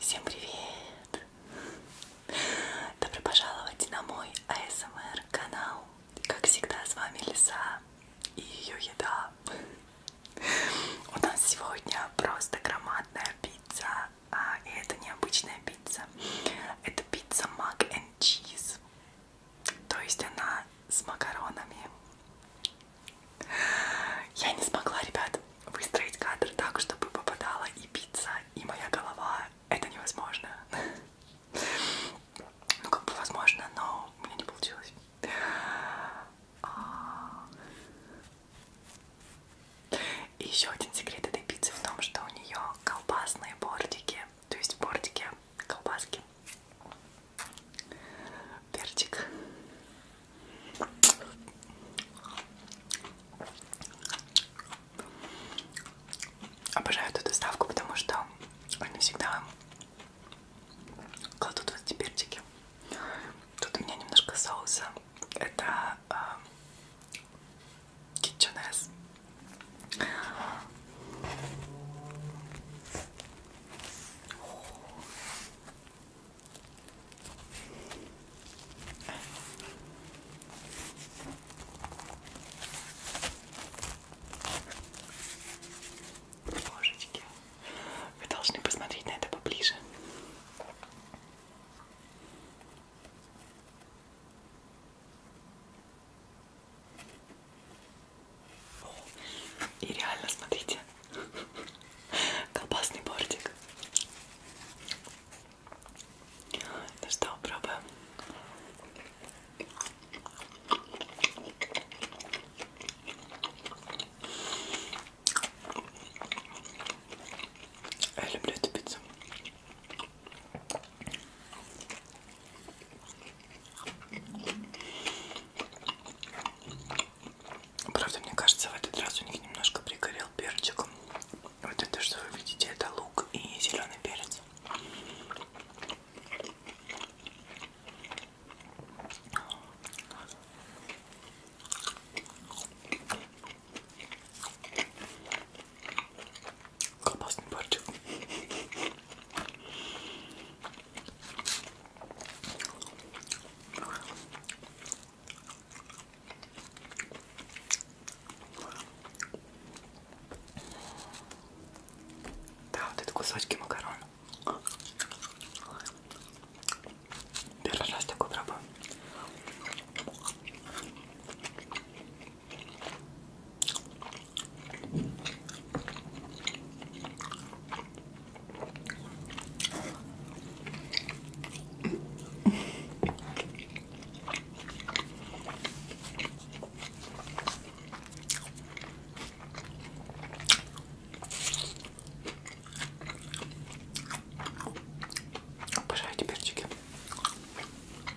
Всем привет! Добро пожаловать на мой АСМР канал. Как всегда, с вами Лиса и ее еда. У нас сегодня просто громадная пицца. А, и это необычная пицца. Это пицца Mac and cheese, то есть она с макаронами. Я не смогла, ребят, выстроить кадр так, чтобы попадала и пицца, и моя голова. Это невозможно. Ну, как бы возможно, но у меня не получилось. А. И еще один секрет этой пиццы в том, что у нее колбасные бортики то есть в бортике колбаски, перчик. Обожаю эту доставку, потому что они всегда кладут вот эти перчики. Тут у меня немножко соуса. Это э, KitchenAss. Божечки, вы должны посмотреть на это поближе. И реально, смотрите, колбасный бортик. Ну что, пробуем. Я люблю эту пиццу. Правда, мне кажется, в этот раз у них немножко пригорел перчиком. Вот это, что вы видите, это лук и зеленый перец. Колбасный борчик. Да, вот это кусочки макарон. Первый раз такой пробую. Обожаю эти перчики.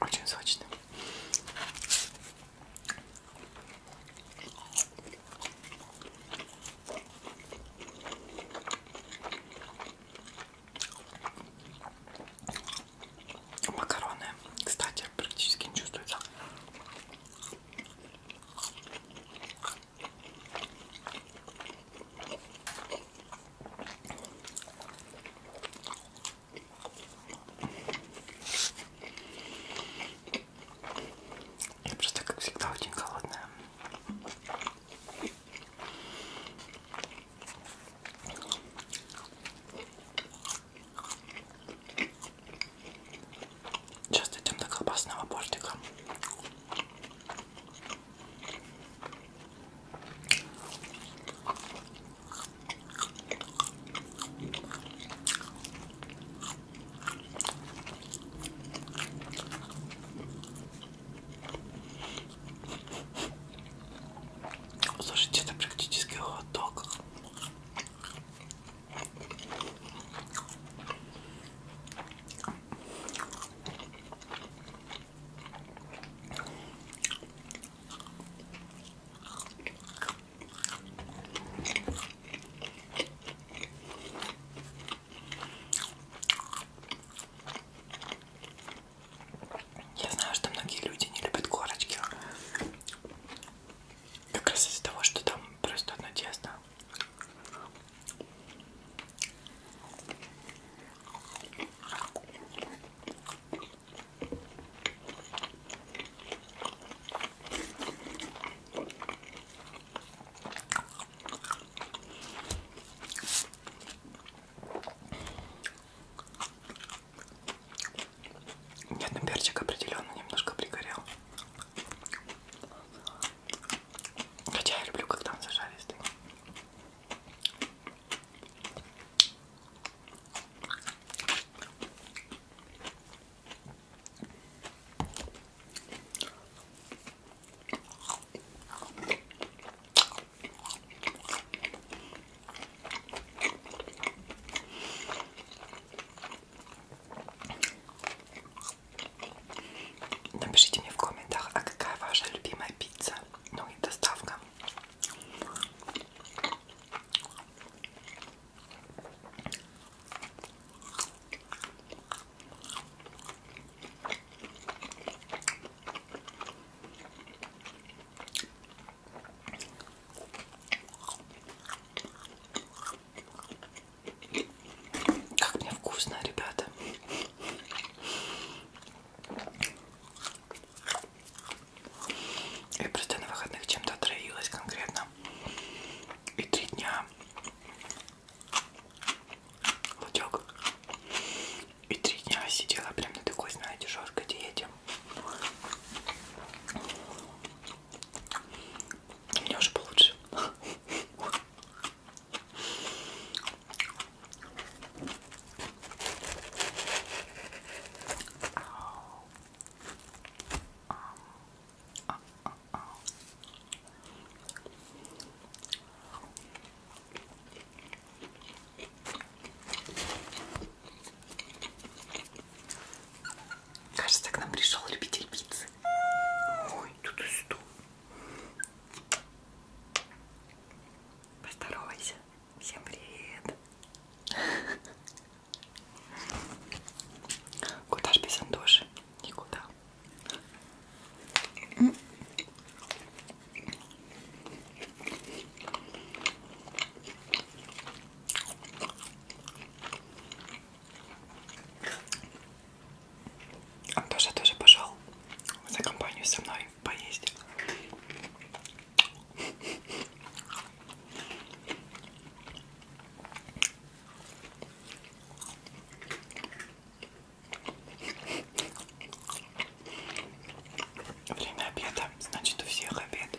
Очень сочно. Макароны, кстати, практически не чувствуется. Я просто, как всегда, очень голодная. Сейчас дойдем до колбасного бортика. Слушайте, это практически хот-дог. Я знаю, что многие люди не любят корочки. Как раз из-за того, что там просто одно тесто. Нет, ну перчик определенно немножко пригорел. Хотя я люблю, когда он зажаристый. Напишите мне в комментах, а какая ваша любимая пицца? ну и доставка. Как мне вкусно, ребята. Я просто на выходных чем-то отравилась конкретно. И три дня лучок. И три дня сидела прям на такой, знаете, жесткой диете. Мне уже получше. Кажется, к нам пришел любитель пиццы. Ой, тут и стул. Поздоровайся. Всем привет. Куда ж без Андоши? Никуда. Он тоже тоже пошел за компанию со мной поесть. Время обеда, значит у всех обед.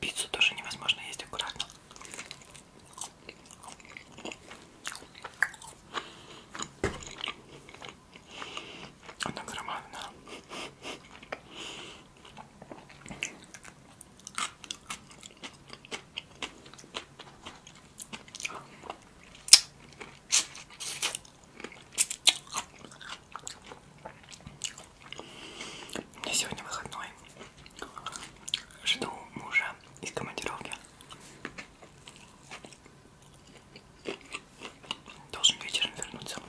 Пиццу тоже невозможно есть аккуратно. Она громадная. Мне сегодня выходной. Жду мужа из командировки. Должен вечером вернуться.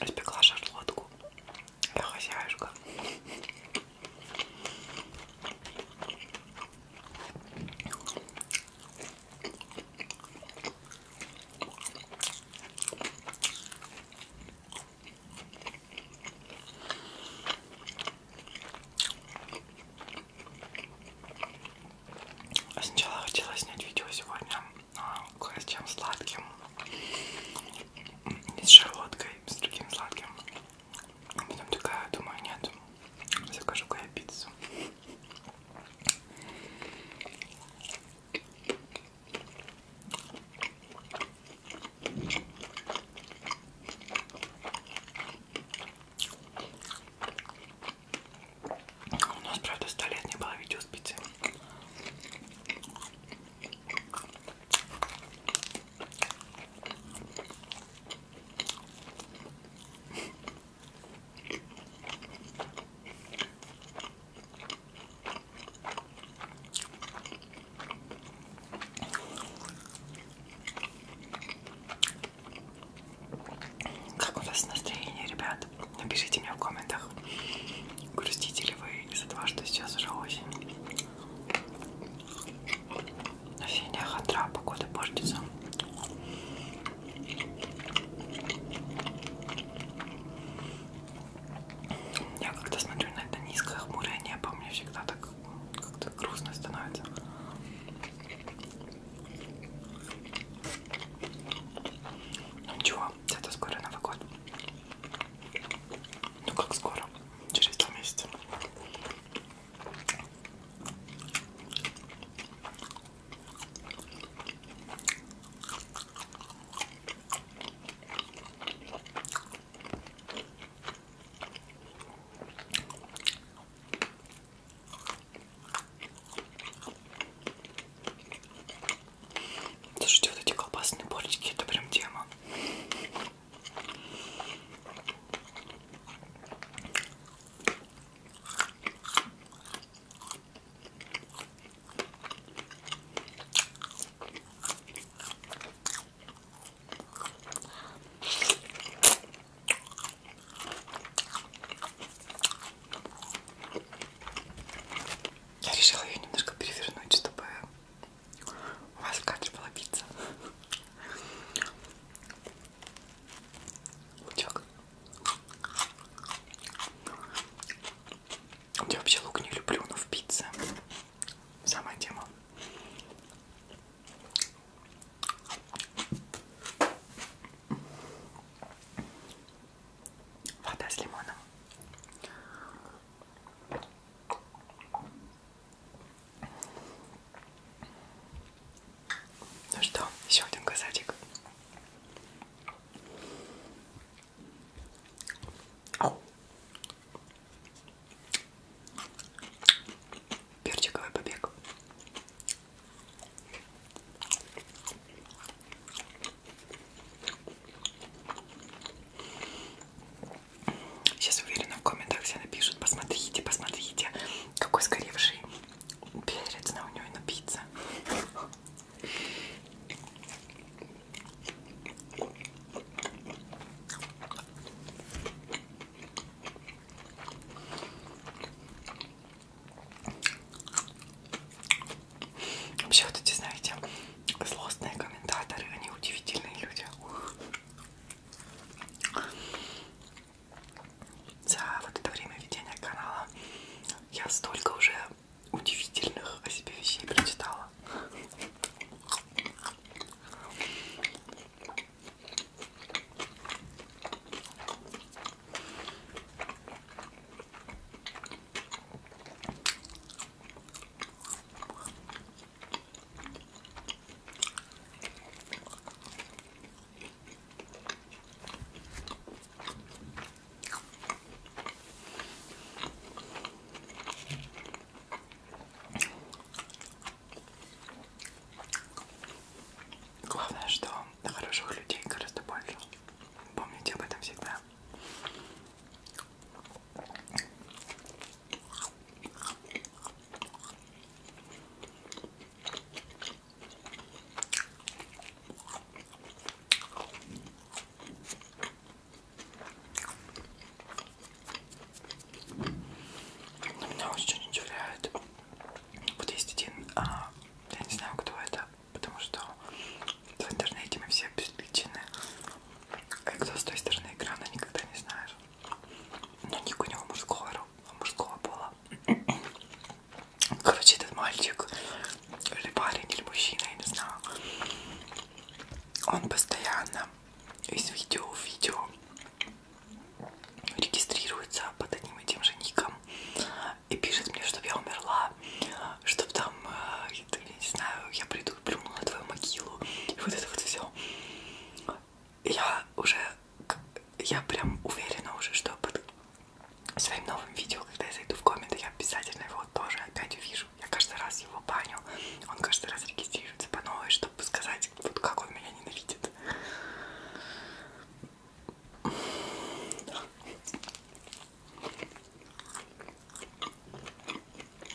Испекла шарлотку. Я хозяюшка. А сначала хотела снять видео сегодня а, кое с чем сладким, не с шарлоткой, с другим сладким. А потом такая, думаю, нет, закажу-ка я пиццу. У нас, правда, сто лет не было видео с пиццей. Как у вас настроение, ребят? Напишите мне в комментах, грустите ли вы из-за того, что сейчас уже осень. Феня хандра, погода портится. Я когда смотрю на это низкое хмурое небо, мне всегда так как-то грустно становится. Ну ничего, это скоро Новый год. Ну как скоро? Через два месяца. Слушайте, вот эти колбасные полечки, это прям тема. Я решила ее немножко перевернуть, чтобы у вас в кадре была пицца. Лучок. Я вообще лук не люблю, но в пицце. Самая тема. Вода с лимоном. Ну что, еще один казатик. Перчиковый побег. Сейчас уверена в комментах все напишут, посмотрите, посмотрите, какой сгоревший перец на у него на пицце. Вообще вот эти, знаете, злостные комментаторы, они удивительные люди. За вот это время ведения канала я столько уже удивительных о себе вещей прочитала. Главное, что хороших людей гораздо больше. Помните об этом всегда. Она очень удивляет. Вот есть один, а, я не знаю, кто это, потому что в интернете мы все обезличены. А кто с той стороны экрана, никогда не знаешь но ник у него а мужского, а мужского пола. Короче, этот мальчик, или парень, или мужчина, я не знаю, он постоянно из видео в видео регистрируется под одним и тем же ником и пишет мне, чтобы я умерла, чтобы там, э, я не знаю, я приду и плюну на твою могилу, и вот это вот все я уже, я прям уверена уже, что под своим новым видео, когда я зайду в комменты, я обязательно его тоже опять увижу. Я каждый раз его баню, он каждый раз регистрируется по новой, чтобы сказать, вот как он меня ненавидит.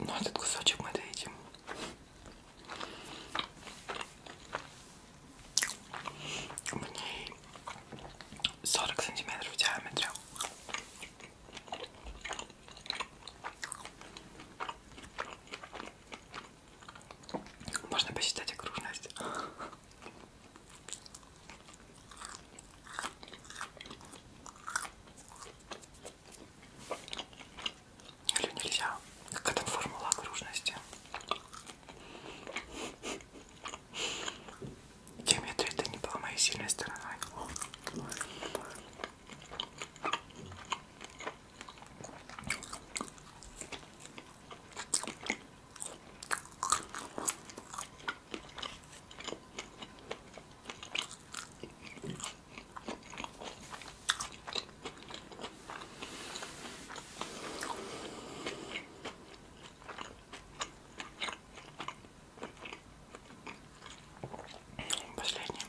Но ну, этот кусочек мы доедим. У ней 40 сантиметров диаметра. Можно посчитать окружность. Или нельзя? Какая там формула окружности? Геометрия это не была моей сильной стороной. Последний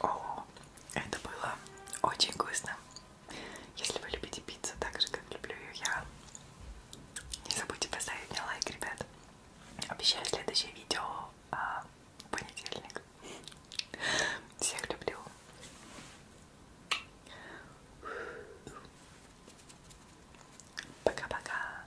О, это было очень вкусно. Если вы любите пиццу так же, как люблю ее я, не забудьте поставить мне лайк, ребят. Обещаю следующее видео а, в понедельник. Всех люблю. Пока-пока.